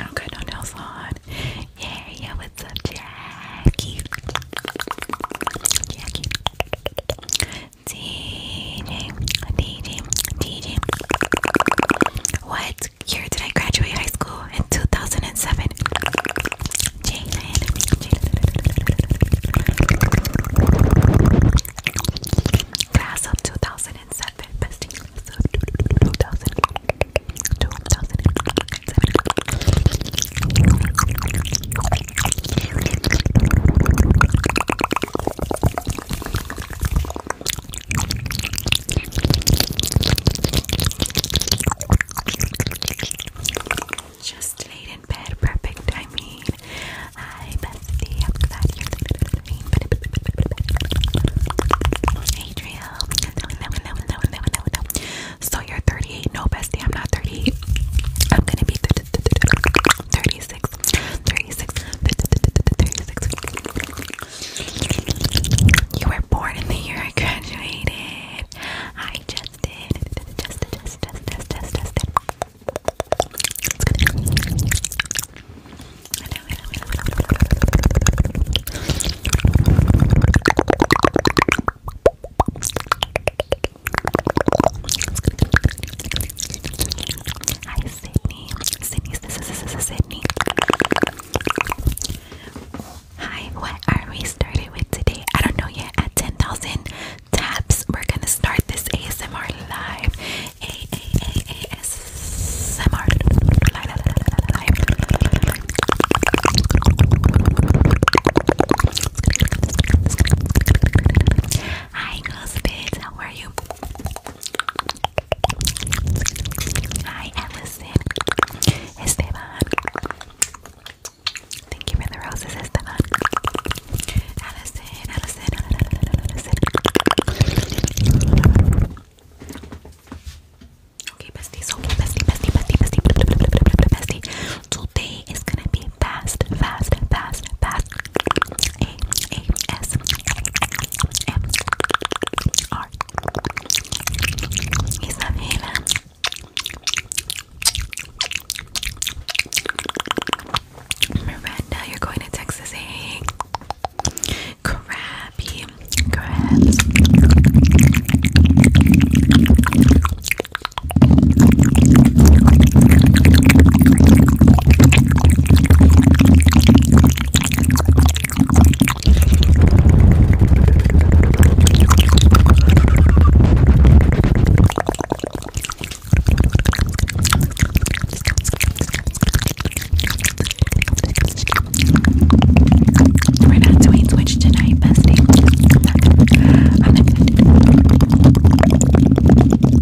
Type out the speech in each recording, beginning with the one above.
Okay, no nails on. Yeah, yeah, what's up, Jackie? Jackie. D DJ, DJ, DJ. What year did I graduate high school? In 2007. Class of 2007. Just laid in bed, perfect timing. Hi, bestie. I'm glad you So you're 38. No, bestie, I'm not 38. I'm gonna be. 36, You were born in the year I graduated. I just did. Just, just, just, Hi, Sydney. Sydney, this Sydney. Hi, what are we started with today? I don't know yet. At 10,000 taps, we're gonna start this ASMR live. A A A A S M R live. Hi, girls, How are you? Hi, Allison. Esteban. Thank you for the roses, Esteban. Allison, Allison, Allison, Allison. Okay, bestie, so bestie, bestie, bestie, bestie, bestie. Today is gonna be fast, fast, fast, fast. Isabela Miranda, you're going to Texas, eh? Crabby, crabs. We're not doing Twitch tonight, bestie. I'm not gonna, I'm not gonna do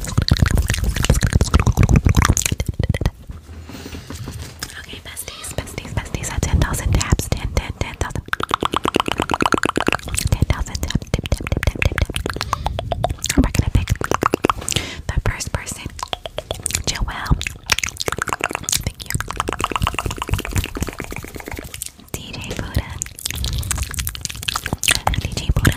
Okay, besties, besties, besties at 10,000 taps. 10, We're gonna pick the first person. Joelle. Thank you. DJ Buddha. DJ Buddha.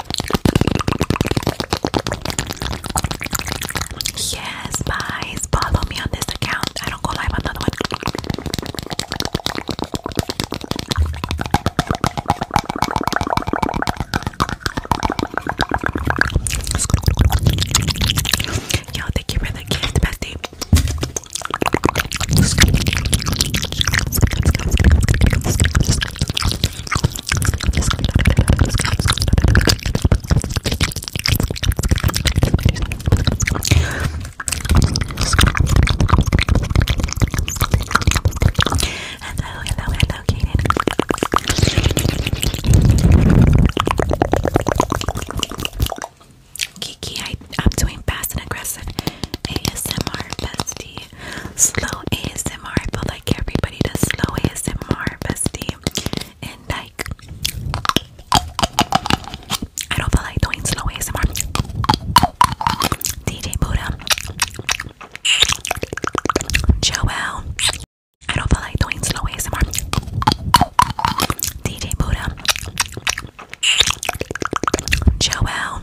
Yes, guys, follow me on this account. I don't go live on the one. Yo, thank you for the gift, bestie. Hello, hello, hello, Kaden. Kiki, I, I'm doing fast and aggressive ASMR bestie slow ASMR. I feel like everybody does slow ASMR, bestie. And like, I don't feel like doing slow ASMR. DJ Buddha, Joel. I don't feel like doing slow ASMR. DJ Buddha, Joel.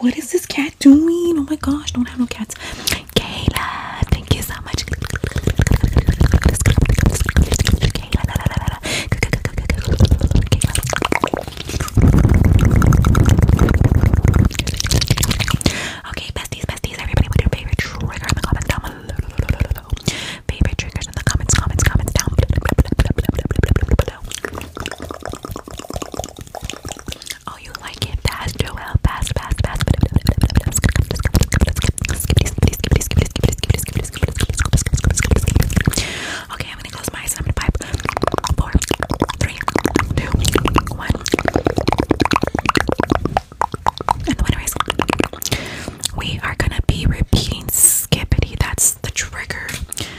What is this cat doing? Oh my gosh, don't have no cats. Kayla, thank you so much. Okay, besties, besties, everybody, what your favorite trigger in the comments down below? Favorite triggers in the comments, comments, comments down Oh, you like it? Pass, Joel. Pass, pass, pass. Okay, I'm gonna close my eyes. I'm gonna pipe. And the winner is. We are gonna be repeating skippity. That's the trigger.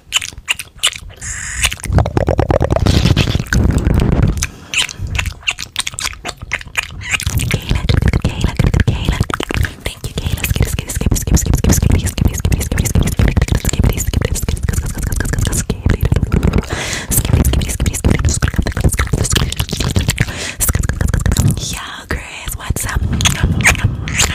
Kayla, Kayla, what's up?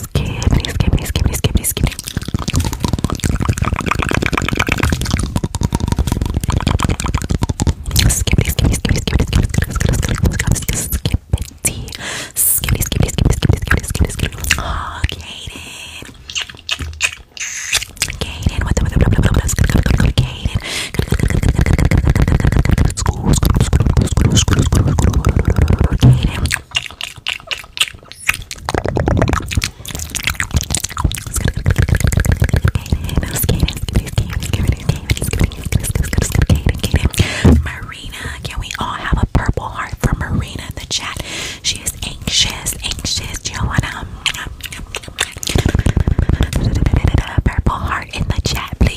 Skibbity, skibbity, skibbity, skibbity, skibbity. Skibbity, skibbity, skibbity, skibbity, skibbity, skibbity, skibbity, skibbity, skibbity, Oh, Kaden. Kaden, what the, what the, what the, what the, what the, what the, what the, what the, school, school, school, school, school, school, school, Marina, can we all have a purple heart for Marina in the chat? She is anxious, anxious. Joanna, um, purple heart in the chat, please.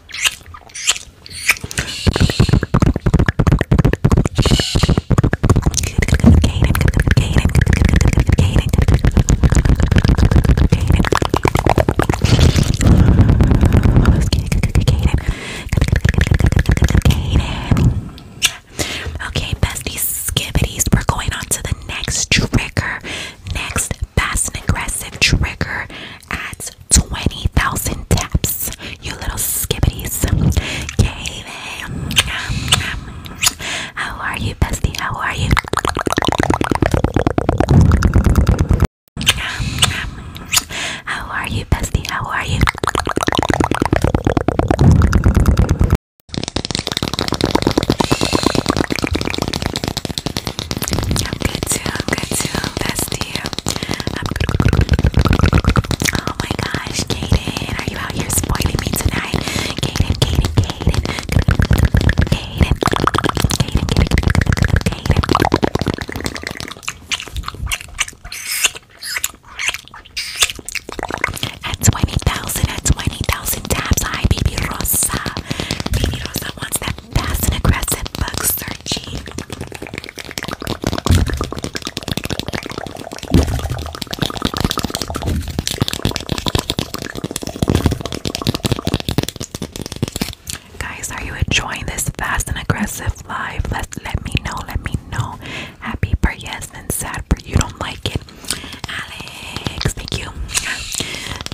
Okay, besties, skibbities, we're going on to the next trigger. Next fast and aggressive trigger at 20,000 taps. You little skibbities. How are you, bestie? How are you? How are you, bestie? How are you? I'm good too, I'm good too, bestie. I'm oh my gosh, Kaden, are you out here spoiling me tonight? Kaden, Kaden, Kaden. Kaden, Kaden, Kaden. At 20,000, at 20,000 taps. Hi, baby Rosa. Baby Rosa wants that fast and aggressive bug searching. Guys, are you enjoying this fast and aggressive live? Let let me know. Let me know. Happy for yes and sad for you don't like it. Alex, thank you.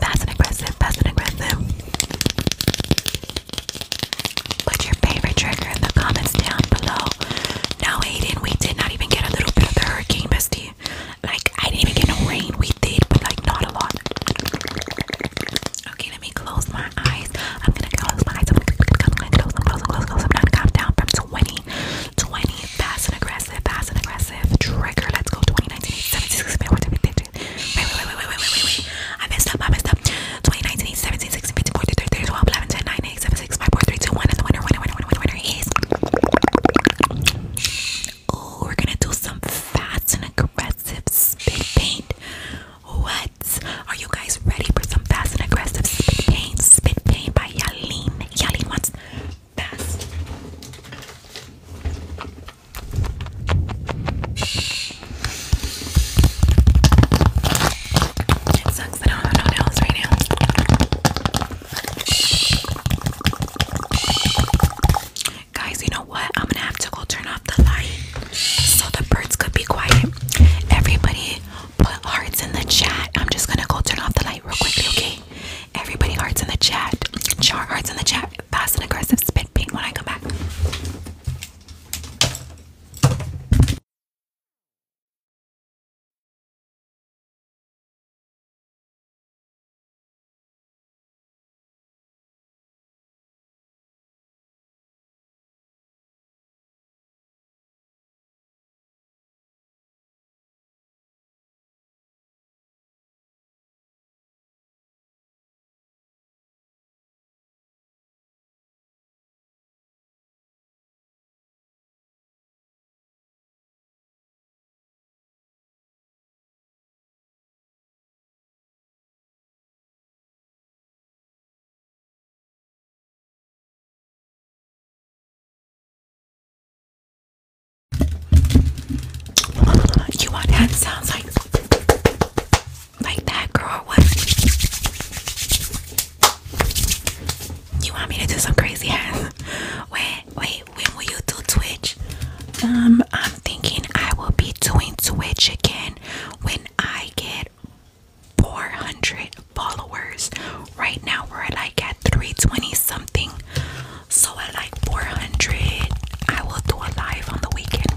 fast and aggressive, fast and aggressive. Put your favorite trigger in the comments down below. No, Aiden, we did not even get a little bit of the hurricane, bestie. Like, I didn't even get no rain. We did, but like, not a lot. Okay, let me close my eyes. I'm gonna close my eyes. I'm gonna close them, close them, close them, close I'm gonna count down from 20. fast and aggressive, fast and aggressive. Trigger, let's go. 20, 15, 16, wait, wait, wait, wait, wait, wait, wait, wait, I messed up, I messed up, 20, 19, 18, 17, 16, 15, 14, 13, 13 12, 11, 10, 9, 8, 7, 6, 5, 4, 3, 2, 1, and the winner, winner, winner, winner, winner, winner is, oh, we're gonna do some fast and aggressive spit paint, what, are you guys ready for some fast and aggressive spit paint, spit paint by Yaline, Yaline wants fast, it sucks I don't have no nails right now. Guys, you know what? I'm gonna have to go turn off the light so the birds could be quiet. Everybody put hearts in the chat. I'm just gonna go turn off the light real quickly, okay? Everybody hearts in the chat. Char hearts in the chat fast and aggressive spit paint when I come back. You want head sounds like like that, girl. What? You want me to do some crazy ass? Wait, wait. When will you do Twitch? Um, I'm thinking I will be doing Twitch again when I get 400 followers. Right now we're at like at 320 something. So at like 400, I will do a live on the weekend.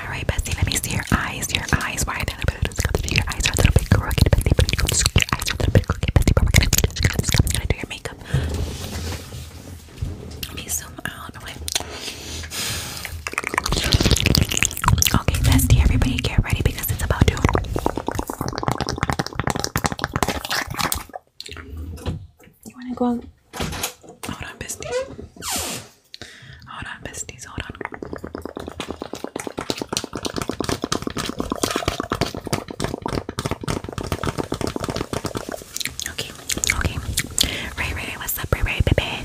All right, Bessie, let me see your eyes. Your eyes, why are they a little bit crooked? Your eyes are a little bit crooked, Bessie. Your eyes are a little bit Bessie. But we do your makeup. Let me zoom out out of the way. Okay, bestie, everybody get ready because it's about to. You wanna go Hold on, besties. Hold on, besties, hold on. Okay, okay. Ray Ray, what's up, Ray Ray, baby?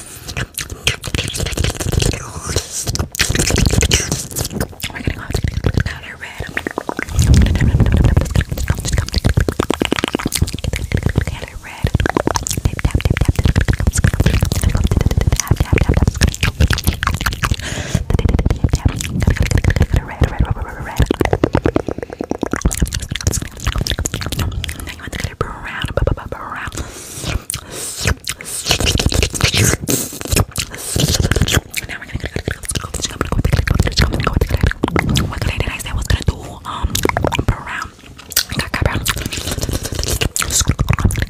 We're gonna go out to powder red. Powder red. Tip tap tip tap tip tap tap tap tap tap now you want to get it brown, brown, brown. Now we're gonna go. What did I say? I was gonna do um brown. I got, got brown. Get this glitter brown, brown. Brown.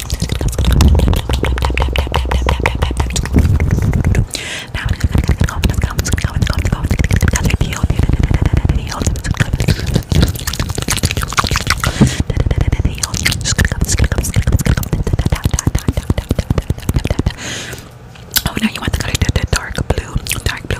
Oh, now you want the color the dark blue, dark blue.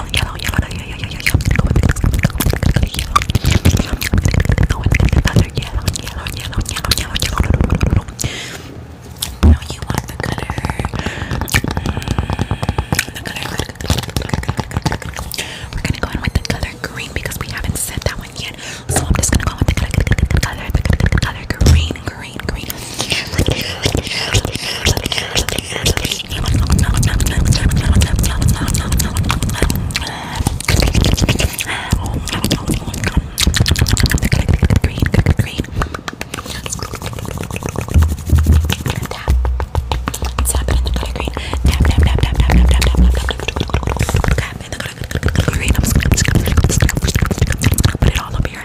yellow, yellow, yellow, yellow, yellow, yellow, yellow. i gonna go with yellow, yellow. yellow, yellow, yellow, yellow, yellow, yellow. No, you want the color. The color. We're gonna go in with the color green because we haven't said that one yet. So I'm just gonna go with the color, the color, the color green green, green, green. Put it all up here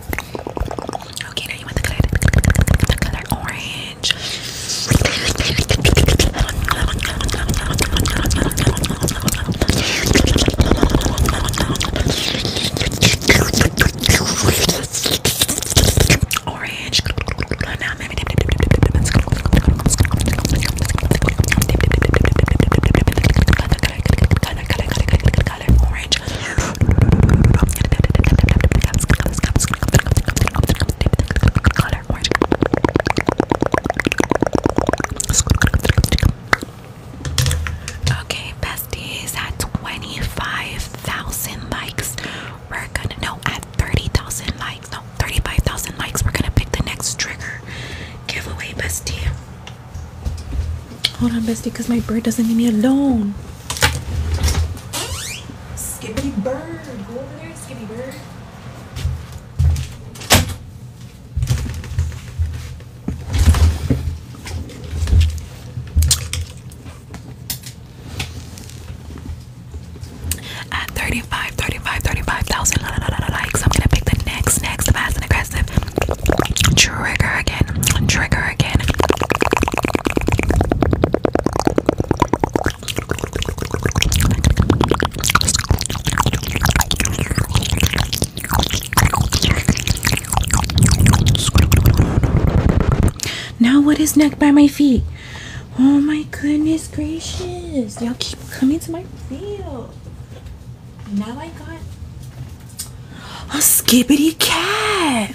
Okay, now you want the color, the color orange. Orange. Color, color, color, color, color, color, orange. Okay, bestie, is Okay, besties, at 25,000 likes, we're gonna, know at 30,000 likes, no, 35,000 likes, we're gonna pick the next trigger giveaway, bestie. Hold on, bestie, because my bird doesn't leave me alone. Skippy bird. Go over there, Skippy bird. At 35, likes, I'm gonna pick the next, next, fast and aggressive trigger again trigger again. Now, what is next by my feet? Oh my goodness gracious! Y'all keep coming to my field. Now I got a skibbity cat.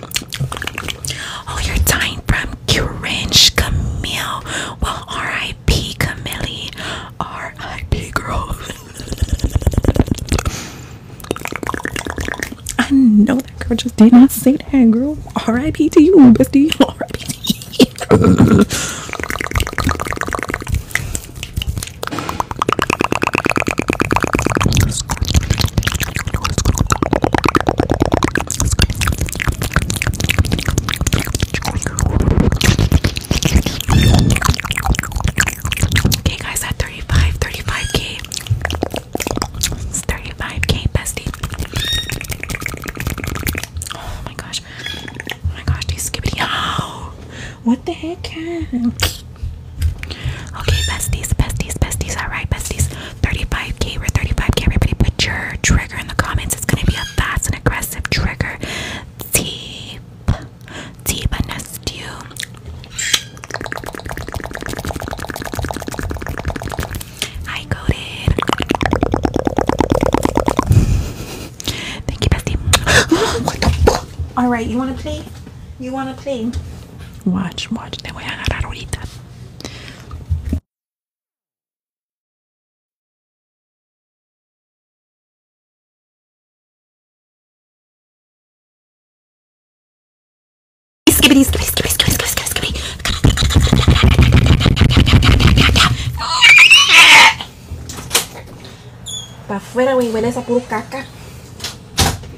Oh, you're dying from cringe, Camille. Well, R.I.P. Camille. R.I.P. girl. I know that girl just did not say that, girl. R.I.P. to you, bestie. R.I.P. Okay, guys, at 35, 35k. It's 35k, bestie. Oh my gosh. Oh my gosh, do you skip it? Oh, what the heck? Okay, besties, besties, besties. Alright, besties. 35k, we're 35k. Everybody put your trigger in the comments. It's gonna be a fast and aggressive trigger. Deep, deep, and you. Hi, Coded. Thank you, bestie. Alright, you wanna play? You wanna play? Watch, watch. Te voy a agarrar ahorita. Para afuera, güey, huele esa puro caca.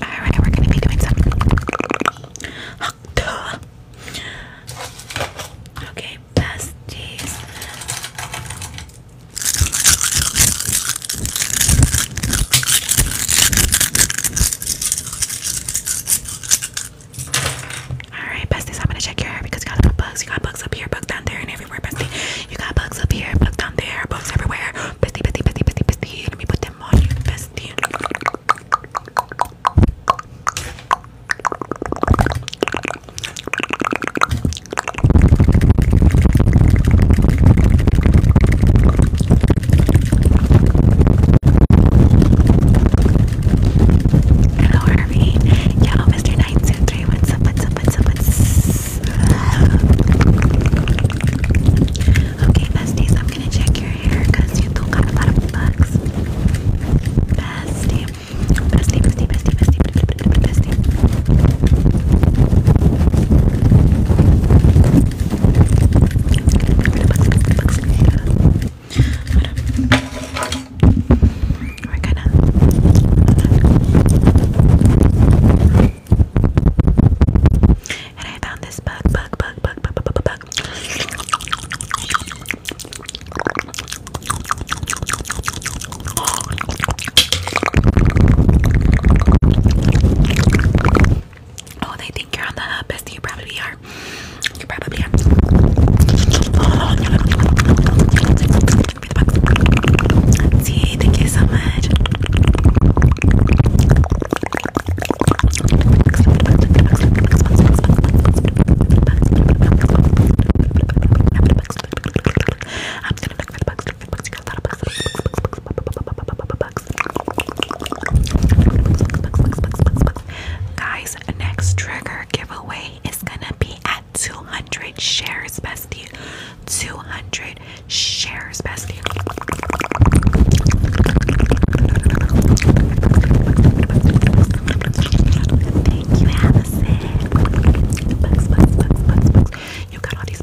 Alright, we're gonna be doing some Okay, pasties. Alright, besties, I'm gonna check your hair because you got bugs. You got bugs up here, bugs down there, and everywhere, bestie. You got bugs up here, bugs down there, bugs everywhere. Bestie, bestie, bestie, bestie, bestie. Let me put them on you, bestie. Hello, Harvey. Yo, Mr nine zero three. What's up? What's up? What's up? What's up? Okay, besties, I'm gonna check your hair because you don't got a lot of bugs. Bestie, bestie, bestie, bestie, bestie, bestie, bestie. bestie. We're gonna. And I found this bug, bug, bug, bug, bug, bug, bug, Oh, they think you're on the hub, bestie. You probably are. You probably are. Give See, thank you so much. for the guys, next trigger giveaway is gonna be 200 shares, bestie. 200 shares, bestie. Thank you, Allison. You got all these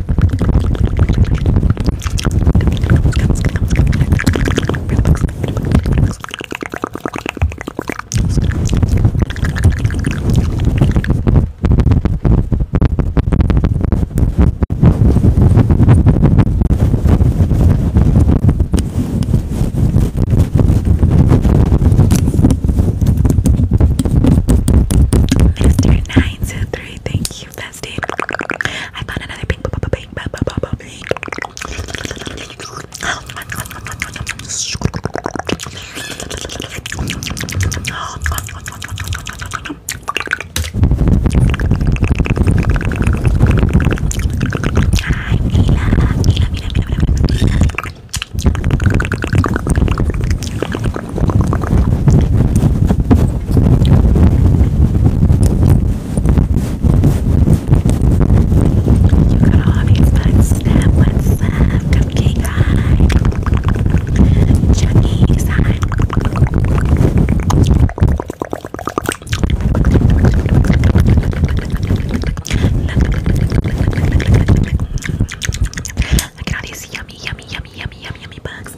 Mister nine two three, thank you, bestie. I found another pink. You got all these buds, snap, what's up? Cupcake high. Chucky's all these yummy, yummy, yummy. yummy, yummy, yummy, yummy bugs.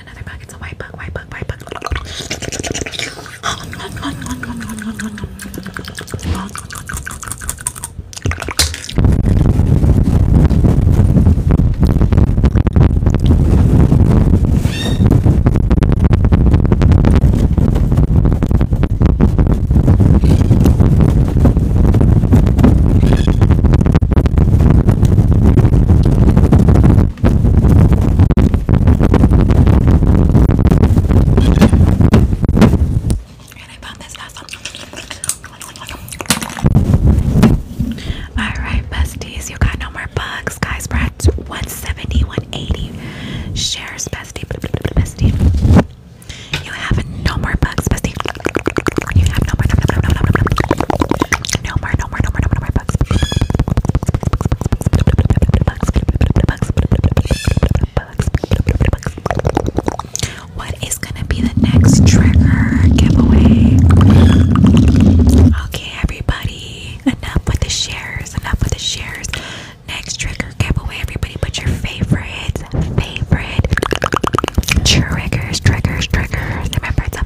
found another bug. It's a white bug, white bug, white bug. Alright, besties, you got no more bugs. Guys, we 170, 180 shares, bestie. Bestie. You have no more bugs, bestie. You have no more. No, no, no, no, no, no. No more, no more, no more, no more, no more bugs. What is gonna be the next trigger giveaway? Okay, everybody, enough with the shares, enough with the shares. Next trigger giveaway, everybody, put your favorite, favorite triggers, triggers, triggers. Remember, it's a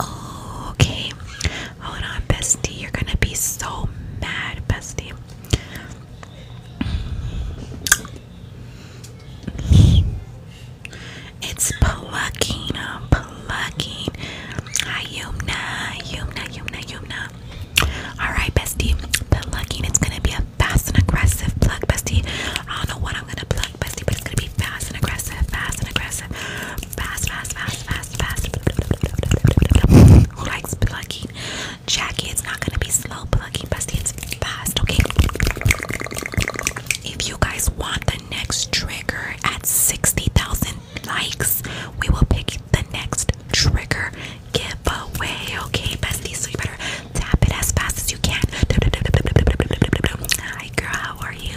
Oh, okay. Hold on, bestie. You're gonna be so mad, bestie. It's plucking, uh, plucking. Hi, Yumna, Yumna, Yumna, Yumna. All right, bestie. Plucking. It's gonna be a fast and aggressive pluck, bestie. I don't know what I'm gonna pluck, bestie, but it's gonna be fast and aggressive, fast and aggressive fast, fast, fast, fast, fast. Who likes plugging? Jackie, it's not gonna be slow plugging, but it's fast, okay? If you guys want the next trigger at 60,000 likes, we will pick the next trigger giveaway, okay, bestie? So you better tap it as fast as you can. Hi, how are you?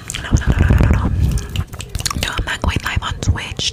No, no, no, no, no, no. No, I'm not going live on Twitch.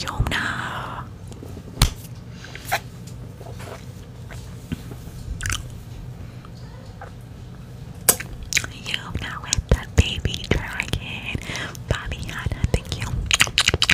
Yona. Yona with the baby dragon. Bobby Hanna, thank you.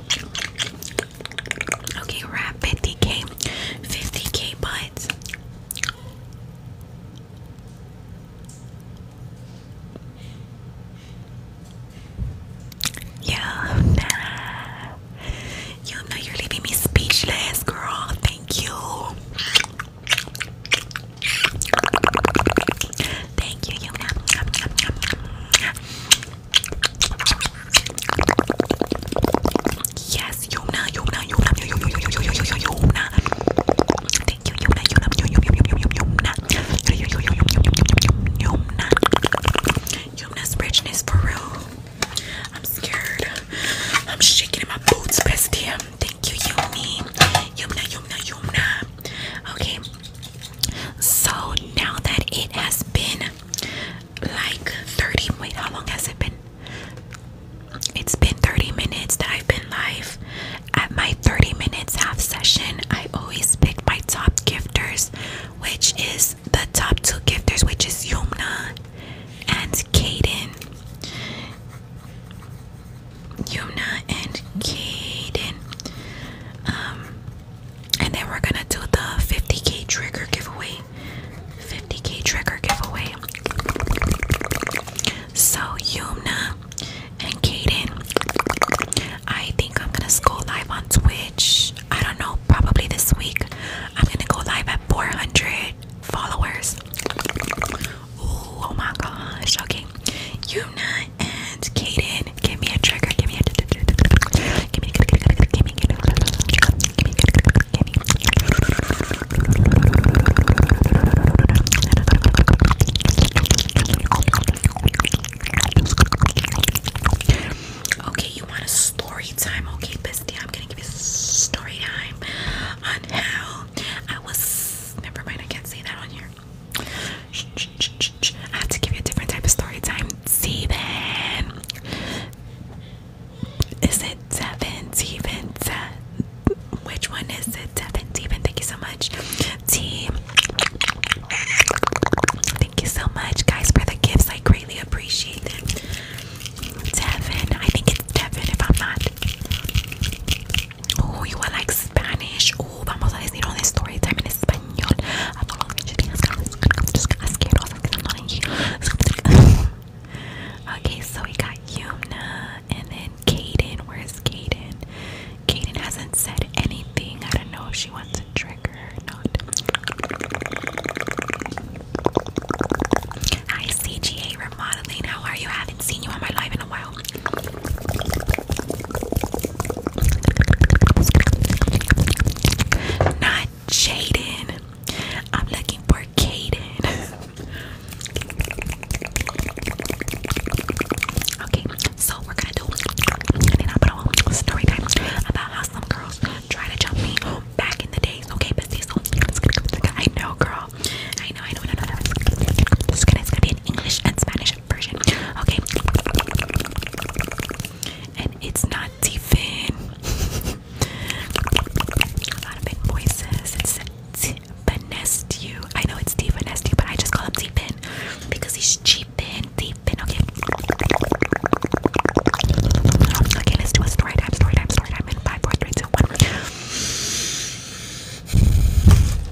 Okay, wrap 50k, 50k bites. Yeah, nah. you're leaving me speechless, girl. Thank you. Thank you, Yuna. Yes, Yona, Yona, Yona, Yona, Yona, Yona. Thank you, Yona, Yona, Yona, Yona, Yona, Yona, Yona. Yona's richness for real. I'm scared. I'm shaking in my boots, bestie. Thank you, Yumi. Yumna, Yumna, Yumna. Okay, so now that it has been like 30, wait, how long has it been? It's been 30 minutes that I've been live. At my 30 minutes half session, I always pick my top gifters, which is the top two gifters, which is Yumna and Kaden. Yumna and Kaden. Um, and then we're gonna do the 50k trigger giveaway 50k trigger giveaway so Yumna and Kaden I think I'm gonna go live on Twitch I don't know probably this week I'm gonna go live at 400 followers oh my gosh okay Yuna and Kaden, give me a trigger. Give me a trigger. Give me a trigger. Give me a trigger. Give me a Give me a Okay, you want a story time? Okay, bestie, I'm gonna give you story time on how I was. Never mind, I can't say that on here. Shh, shh, shh, shh, shh. I have to give you a different type of story time. Steven. Is it seven? Steven. Which one is it? Seven. Steven. Thank you so much. T. Thank you so much, guys, for the gifts. I greatly appreciate them. Devin, I think it's Devin if I'm not. Oh, you are like Spanish. Uh, okay, so we got Yumna and then Kaden. Where's Kaden? Kaden hasn't said anything. I don't know if she wants a trigger or not. Hi, CGA Remodeling. How are you? I haven't seen you on my life in a while. Not Jaden. I'm looking for Kaden. okay, so we're gonna do then i put on story time about how some girls try to jump me back in the days. Okay, but see, I know, girl. I know, I know, This is gonna be in English and Spanish. Okay. And it's not Tiffin. A lot of big voices. It's Tiffin I know it's Tiffin but I just call him Tiffin because he's cheap and Okay. Okay, let's do a story time, story time, story time in 5,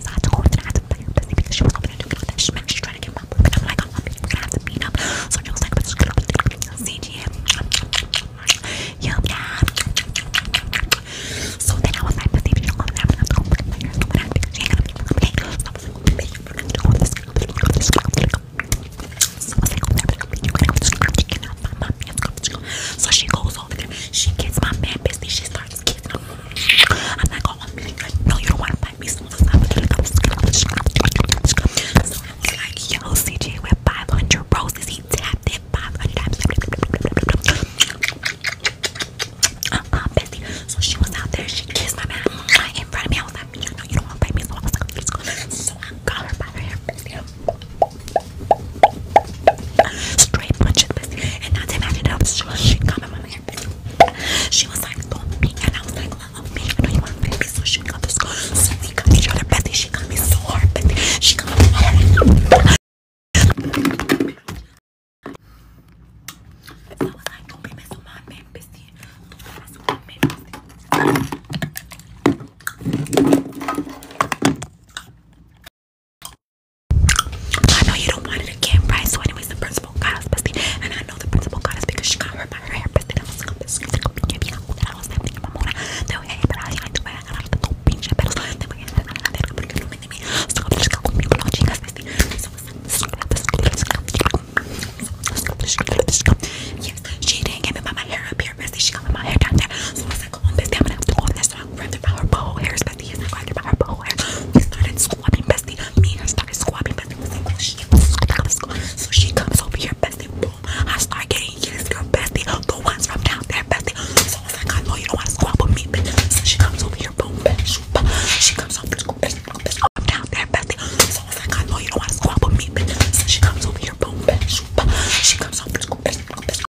So I had to go I had to busy because she was gonna do it that she meant she's trying to get my book and I'm like, I'm oh, we're gonna have to meet up. So she was like, but CGM. Yum yum. So then I was like, but baby, you know, I'm gonna have to go and play her so I'm gonna have to because she ain't gonna be okay. So I was like, baby, you're gonna have to go with this girl, you're gonna have to go with this girl. So I was like, oh, there we go. You're gonna have to go with this girl, you cannot find my man, let's go, let's go. So she goes over there, she gets my man busy, she starts I'm like, oh, I'm really no, you don't want to bite me. So, so I was like, yo, CJ with 500 roses. He tapped it 500 times. Uh-uh, Bessie. So she was out there. She kissed my man in front of me. I was like, no, you don't want to bite me. So I was like, so I got her by her hair, Straight punching And not to imagine that she was she coming with me. She was like, don't me. And I was like, love me. I know you want to baby. So she got this So we got each other, Betty. She got me so hard, Betty. She got me I was like, don't be messing with my man, Bessie. Don't be with my man, Bessie. I know you don't want it again, right? So, anyways, the principal got us busted, and I know the principal got us because she got hurt by her hair busted. I was like, this is gonna be a I was thinking about Mona. They were hey, but I like to wear a lot of the pinche pelos. They were getting another thing, but you don't me. So, I'm just going to be watching us busted. So, Yes, she didn't give me my hair up here, bestie. She got me my hair down there. So I was like, come on, bestie, I'm gonna have to go on this one grab their power pole hairs, bestie. Yes, I grabbed their power pole hairs. We started squabbing, bestie. Me and her started squabbing, bestie. We like, oh, shit. So she comes over here, bestie. Boom. I start getting yes, your bestie. The ones from down there, bestie. So I was like, I know you don't want to squabble me, bestie. So she comes over here, boom, bestie. She comes over, bestie, bestie. I'm down there, bestie. So I was like, I know you don't want to squabble me, bestie. So she comes over here, boom, bestie. She comes over, bestie.